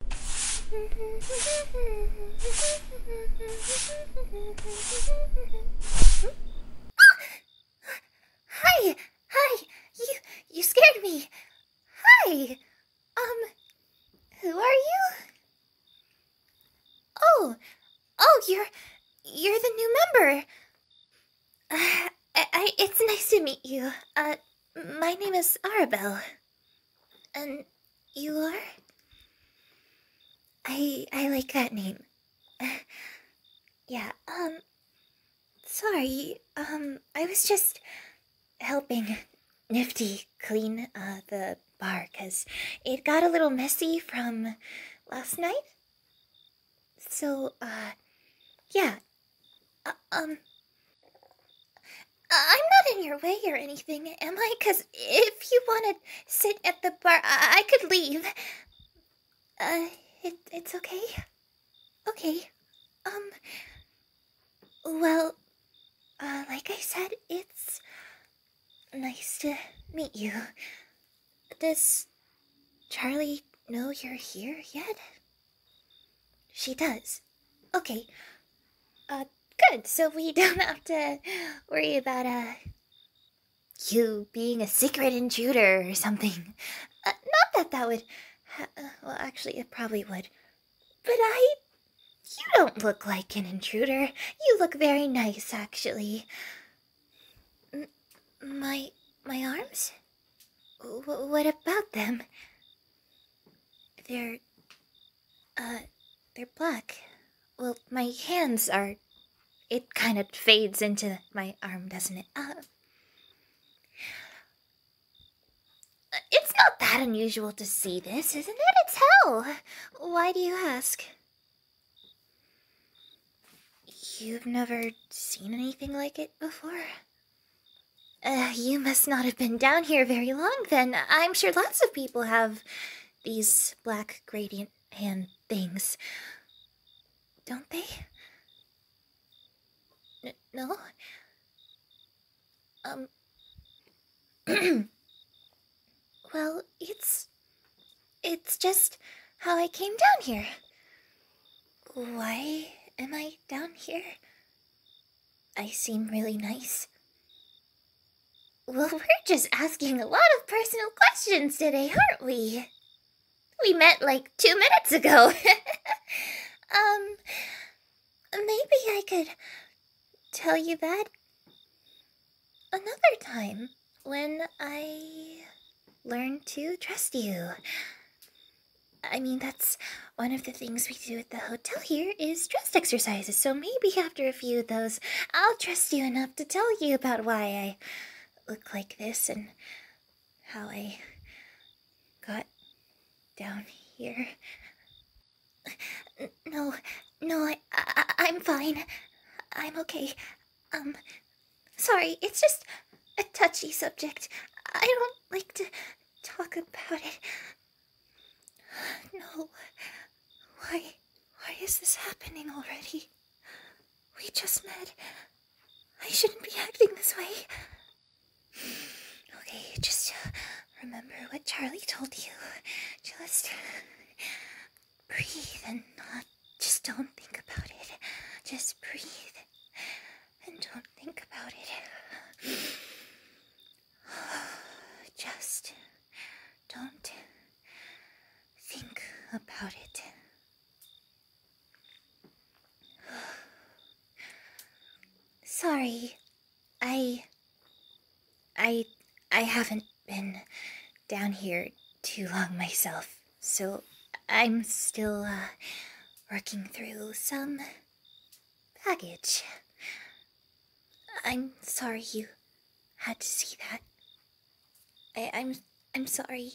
Hi! Hi! You, you scared me! Hi! Um, who are you? Oh! Oh, you're, you're the new member! it's nice to meet you. Uh, my name is Arabelle. And you are? I I like that name. yeah, um sorry. Um I was just helping Nifty clean uh the bar cuz it got a little messy from last night. So uh yeah. Uh, um I'm not in your way or anything, am I? Because if you want to sit at the bar, I, could leave. Uh, it's okay? Okay. Um, well, uh, like I said, it's nice to meet you. Does Charlie know you're here yet? She does. Okay. Uh, good. So we don't have to worry about, uh, you being a secret intruder or something. Uh, not that that would. Uh, well, actually, it probably would. But I. You don't look like an intruder. You look very nice, actually. my. my arms? what about them? They're uh, they're black. Well, my hands are. It kind of fades into my arm, doesn't it? Uh, it's not that unusual to see this, isn't it? It's hell! Why do you ask? You've never seen anything like it before? Uh, you must not have been down here very long then. I'm sure lots of people have these black gradient hand things. Don't they? no? Um. well, it's. It's just how I came down here. Why am I down here? I seem really nice. Well, we're just asking a lot of personal questions today, aren't we? We met like two minutes ago. um, maybe I could tell you that another time when I learn to trust you. I mean, one of the things we do at the hotel here is trust exercises. So maybe after a few of those, I'll trust you enough to tell you about why I look like this and how I got down here. No, no, I'm fine. I'm okay. Um, sorry, it's just a touchy subject. I don't like to talk about it. No. Why? Why is this happening already? We just met. I shouldn't be acting this way. Okay, just uh, remember what Charlie told you. Just breathe and not. Just don't think about it. Just breathe and don't think about it. Just don't think about it. Sorry. I. I. I haven't been down here too long myself, so I'm still uh, working through some Package. I'm sorry you had to see that. I, I'm I'm sorry.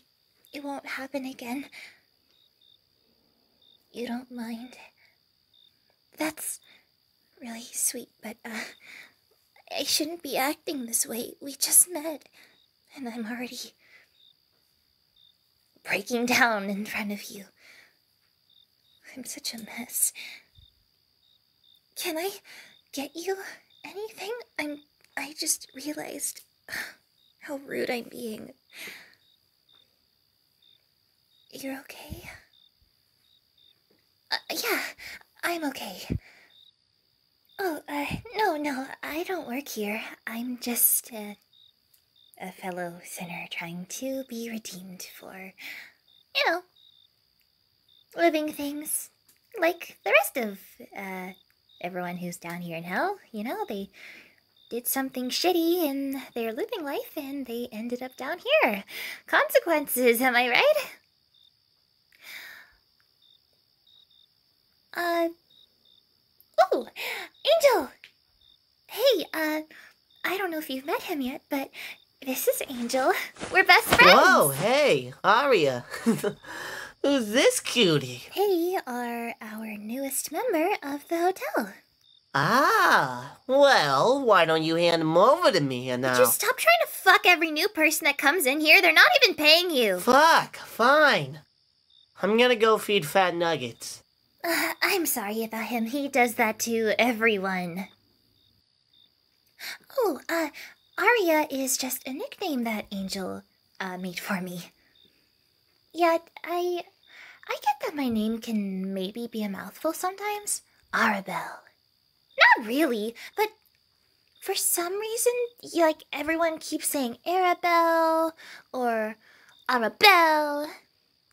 It won't happen again. You don't mind. That's really sweet, but uh, I shouldn't be acting this way. We just met and I'm already breaking down in front of you. I'm such a mess. Can I get you anything? I'm. I just realized how rude I'm being. You're okay? Uh, yeah, I'm okay. Oh, uh, no, no, I don't work here. I'm just a fellow sinner trying to be redeemed for you know, living things like the rest of uh, everyone who's down here in hell. You know, they did something shitty in their living life and they ended up down here. Consequences, am I right? Uh. Oh! Angel! Hey, uh, I don't know if you've met him yet, but this is Angel. We're best friends. Oh, hey, Aria. Who's this cutie? They are our newest member of the hotel. Ah, well, why don't you hand him over to me and I'll... Just uh, stop trying to fuck every new person that comes in here. They're not even paying you. Fuck, fine. I'm gonna go feed Fat Nuggets. I'm sorry about him. He does that to everyone. Oh, uh, Aria is just a nickname that Angel uh, made for me. Yeah, I, I get that my name can maybe be a mouthful sometimes. Arabelle. Not really, but for some reason, like everyone keeps saying Arabelle or Arabelle.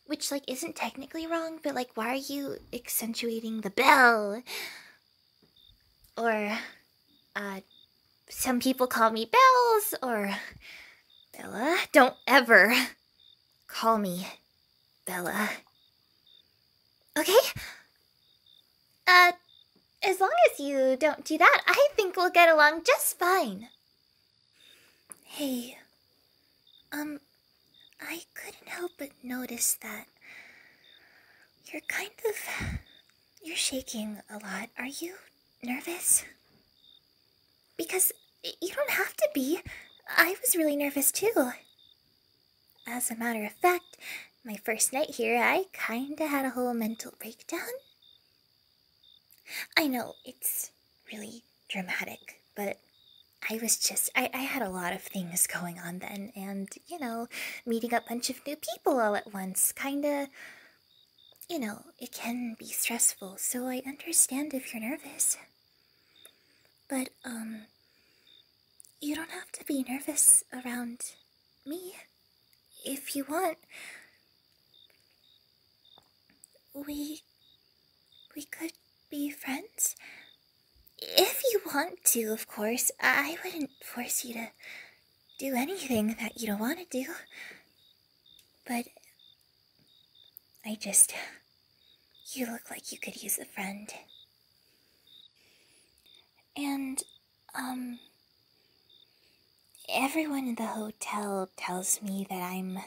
Which, like, isn't technically wrong, but, like, why are you accentuating the bell? Or, uh, some people call me Bells, or Bella. Don't ever call me Bella. Okay? Uh, as long as you don't do that, I think we'll get along just fine. Hey, um, I couldn't help but notice that you're kind of. You're shaking a lot. Are you nervous? Because you don't have to be. I was really nervous too. As a matter of fact, my first night here, I kinda had a whole mental breakdown. I know, it's really dramatic, but I was just, I, I had a lot of things going on then, and, you know, meeting a bunch of new people all at once kinda, you know, it can be stressful, so I understand if you're nervous. But, um, you don't have to be nervous around me. If you want, we we could be friends? If you want to, of course. I wouldn't force you to do anything that you don't want to do. But I just. You look like you could use a friend. And, um. Everyone in the hotel tells me that I'm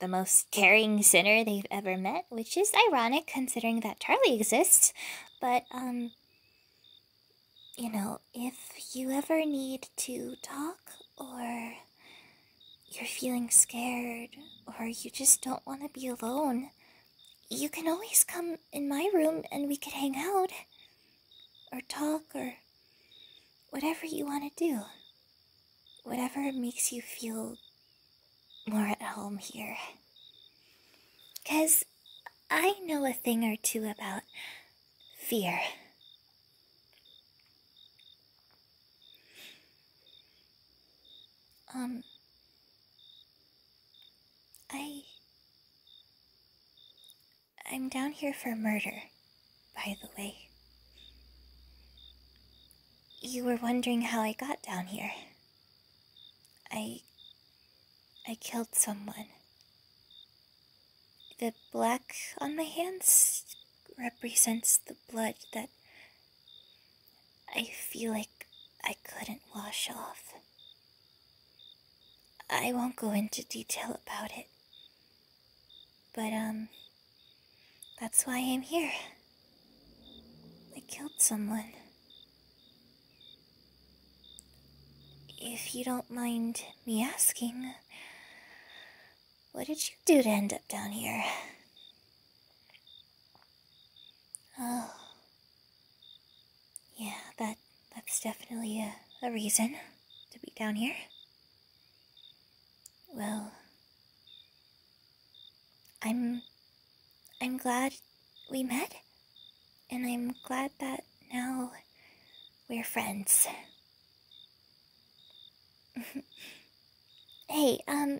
the most caring sinner they've ever met, which is ironic considering that Charlie exists. But, um, you know, if you ever need to talk or you're feeling scared or you just don't want to be alone, you can always come in my room and we could hang out or talk or whatever you want to do whatever makes you feel more at home here. Because I know a thing or two about fear. Um, I. I'm down here for murder by the way. You were wondering how I got down here. I. I killed someone. The black on my hands represents the blood that I feel like I couldn't wash off. I won't go into detail about it. But, um, that's why I'm here. I killed someone. If you don't mind me asking, what did you do to end up down here? Oh. Yeah, that that's definitely a, reason to be down here. Well, I'm I'm glad we met, and I'm glad that now we're friends. hey, um,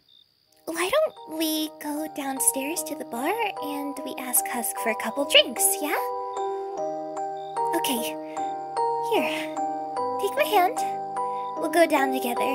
why don't we go downstairs to the bar and we ask Husk for a couple drinks, yeah? Okay, here. Take my hand. We'll go down together.